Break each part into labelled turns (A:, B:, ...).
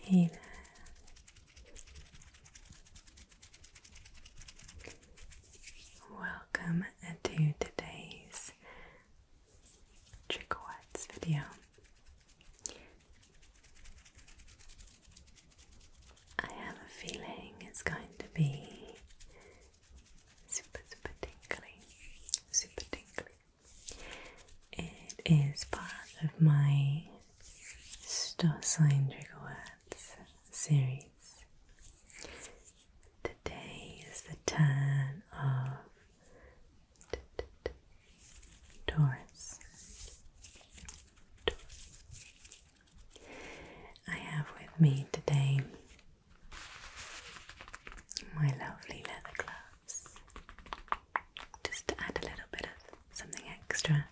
A: Hey there. Welcome to today's trigger video. I have a feeling it's going to be super, super tingly, super tingly. It is part of my Storcylindrical Words series. Today is the turn of t Taurus. I have with me today my lovely leather glove just to add a little bit of something extra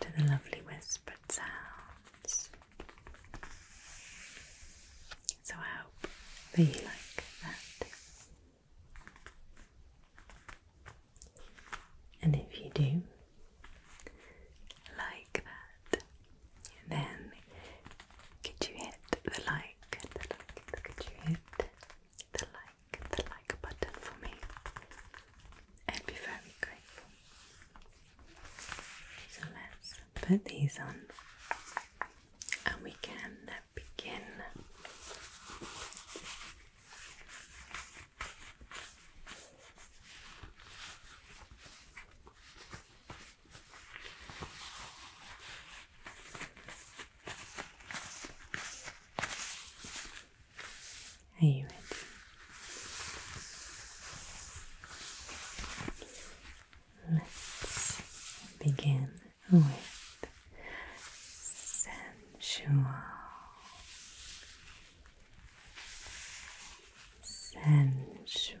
A: to the lovely whispered sounds. So I hope you like that. And if you do like that, then could you hit the like, the like, could you hit the like, the like button for me? I'd be very grateful. So let's put these on and we can begin. Are you ready? Let's begin with sensual, sensual,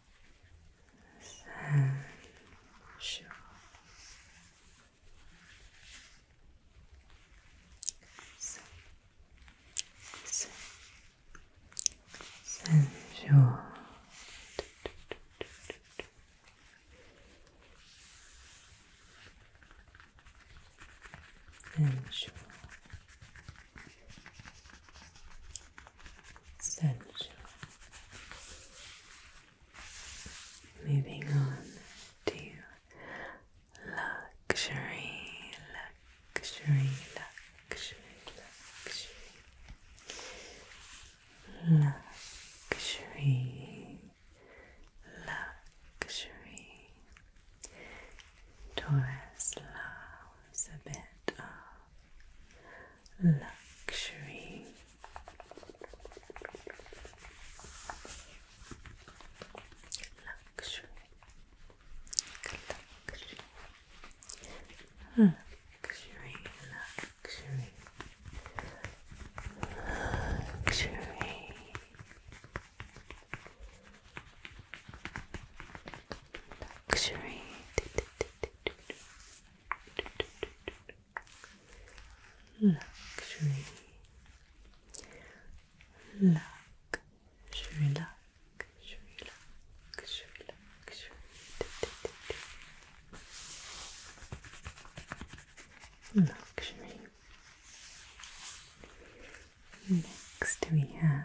A: sensual. Sen sensual. Sensual central. Moving on to luxury, luxury, luxury, luxury, luxury, luxury. Taurus a bit luxury. Luxury. Luxury. Luxury. Luxury. Luxury. Luxury. Luxury. Luxury, luxury, luxury, luxury. Luxury. Next we have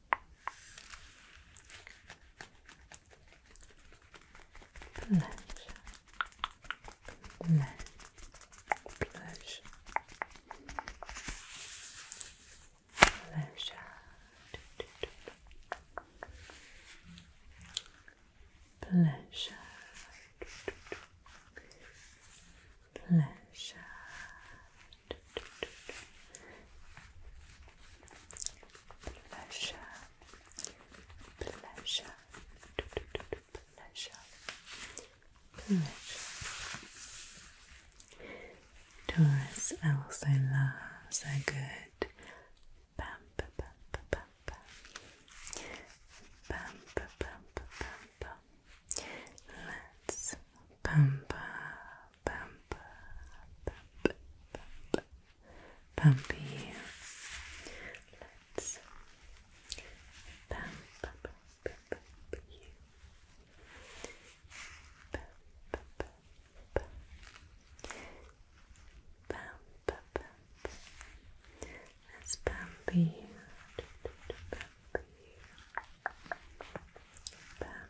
A: Pleasure. Pleasure. Pleasure. Pleasure. Pleasure. Pleasure. Pleasure, pleasure, pleasure, pleasure. Taurus also loves a good pamper, pamper, pamper, pamper, pamper, pamper. Let's pamper, pump, pump, pump, pump you. Let's pump, pump, pump, pump you. Pump, pump, pump, pump, pump, pump. Let's pump you. Pump you. Pump,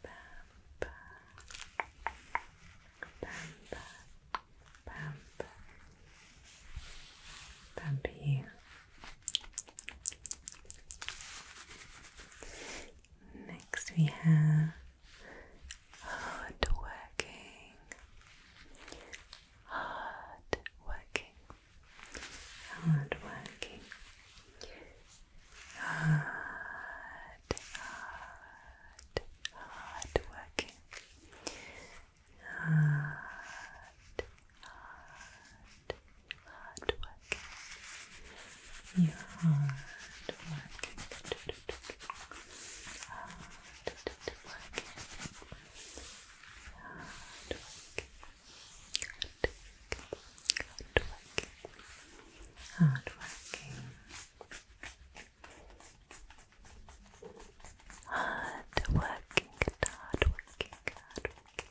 A: Pampa, Pampa, Pampa, Pampi. Next we have hard working, hard working, hard working. Hard hard, hard working. Hard, hard, hard working. You're working. Hard Hard working. Hard working. Hard working. Hard working, hard working, hard working.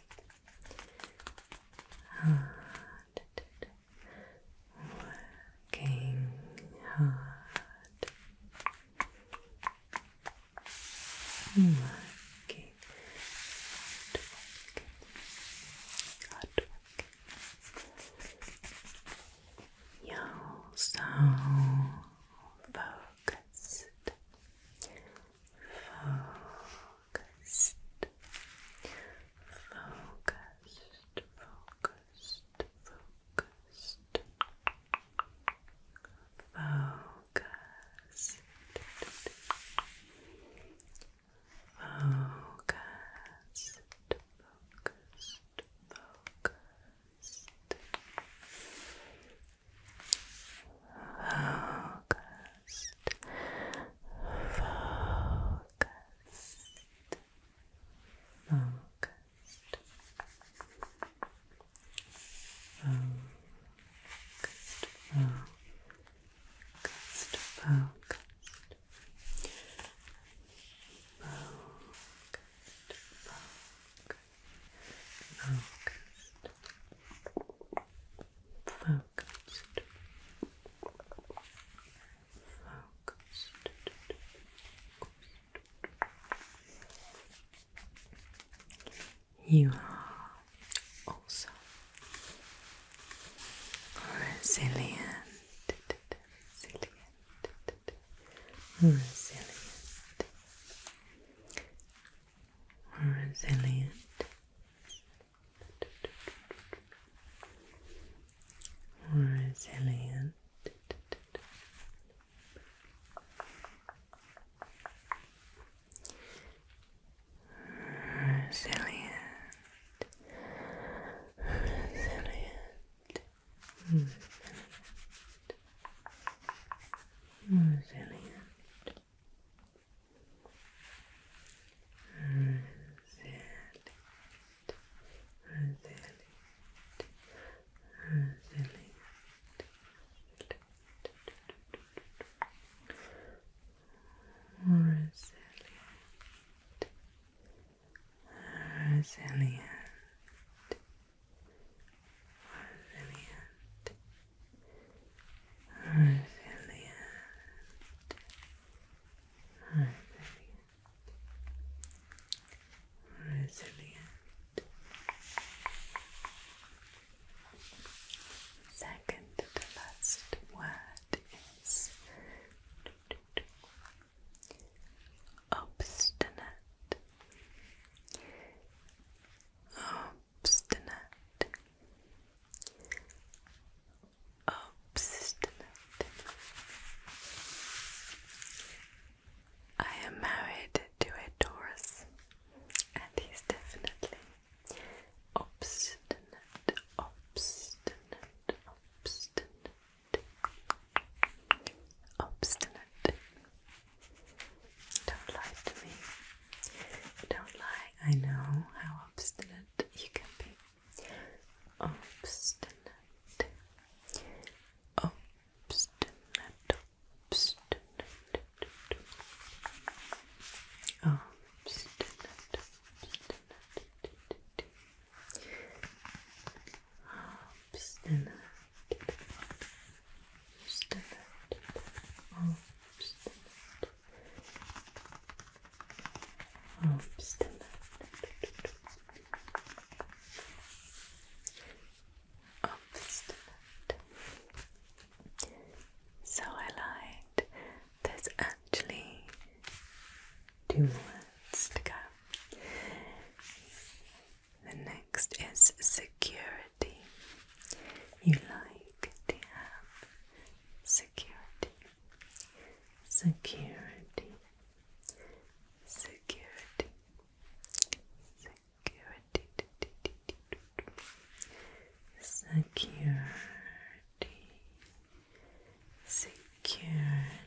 A: Hard working, hard working, hard working. You're so focused, focused, focused, focused, focused, focused. Focused, focused, focused, focused, focused, focused. Focused, focused, focused, Good. Focused, focused, focused, focused, You are also resilient, resilient, resilient, resilient, resilient. Resilient, resilient, movement, resilient, resilient, resilient, resilient. Resilient, resilient, resilient, resilient, resilient, resilient. Second to last word is obstinate obstinate obstinate I am married to a Taurus and he's definitely obstinate obstinate obstinate obstinate. Don't lie to me. Don't lie. I know how obstinate you can be. Obstinate. Obstinate. Obstinate. Obstinate obstinate, obstinate, obstinate, obstinate, obstinate. So I lied. There's actually two words to go. The next is security. You like to have security, security, security, security, security, security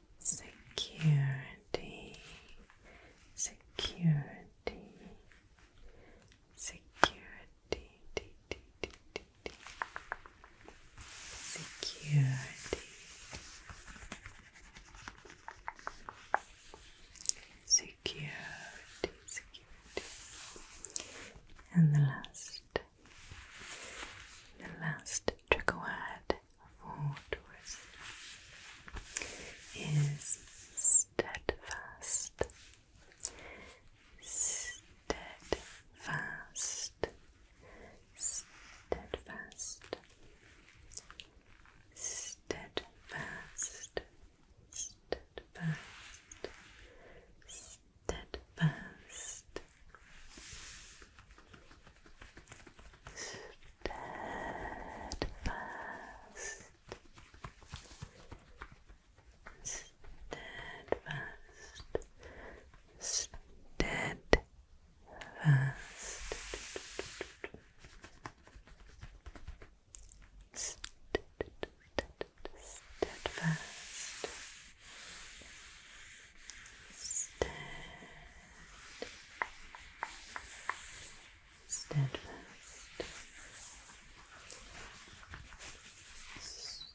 A: security, security, security, d -d -d -d -d. security, security, security, and the last, the last trigger word for is steadfast, steadfast, steadfast, steadfast, steadfast, steadfast steadfast, steadfast, steadfast, steadfast. Steadfast, steadfast, steadfast,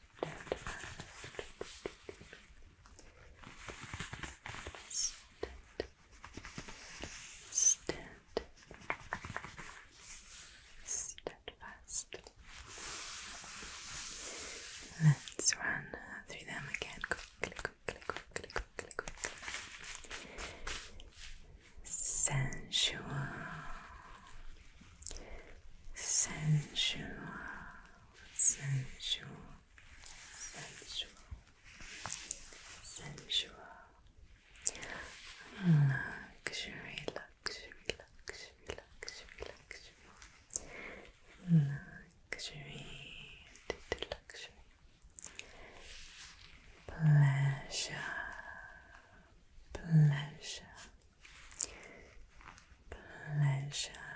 A: stead, steadfast. Let's run through them again quickly quickly, Sensual, sensual, sensual, sensual, sensual. Luxury, luxury, luxury, luxury, luxury. Luxury, luxury, Pleasure, pleasure, pleasure,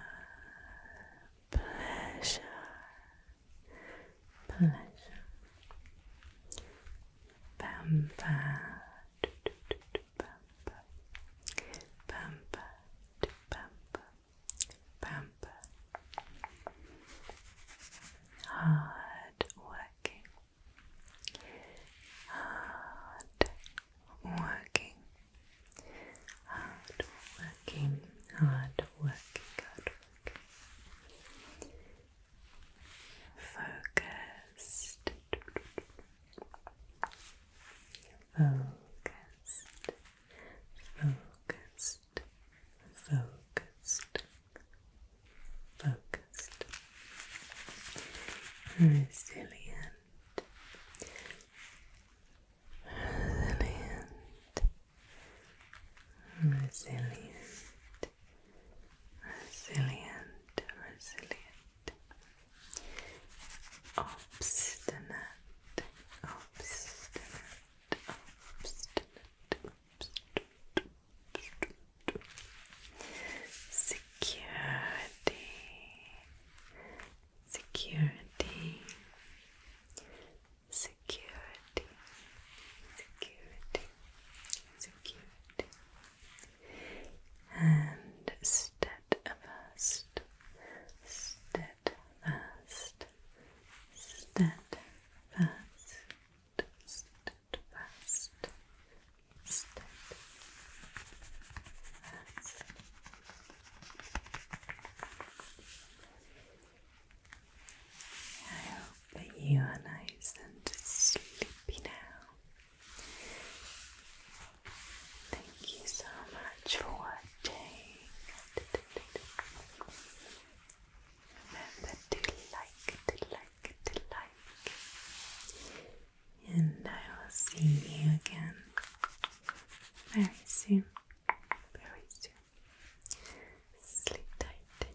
A: pleasure, pleasure. Pampa, pampa, pampa, pampa, pamper, hard working, hard working, hard working, hard working, hard working, focused. Focused, focused, focused, focused, resilient, resilient, resilient, resilient, resilient, obstinate, obstinate, obstinate. Security, security, security, security, security, and steadfast, steadfast steadfast, steadfast, steadfast, steadfast. I hope that you are nice and sleepy now. Thank you so much for watching. Remember to like, to like, to like. And I will see you again very soon. Very soon. Sleep tight.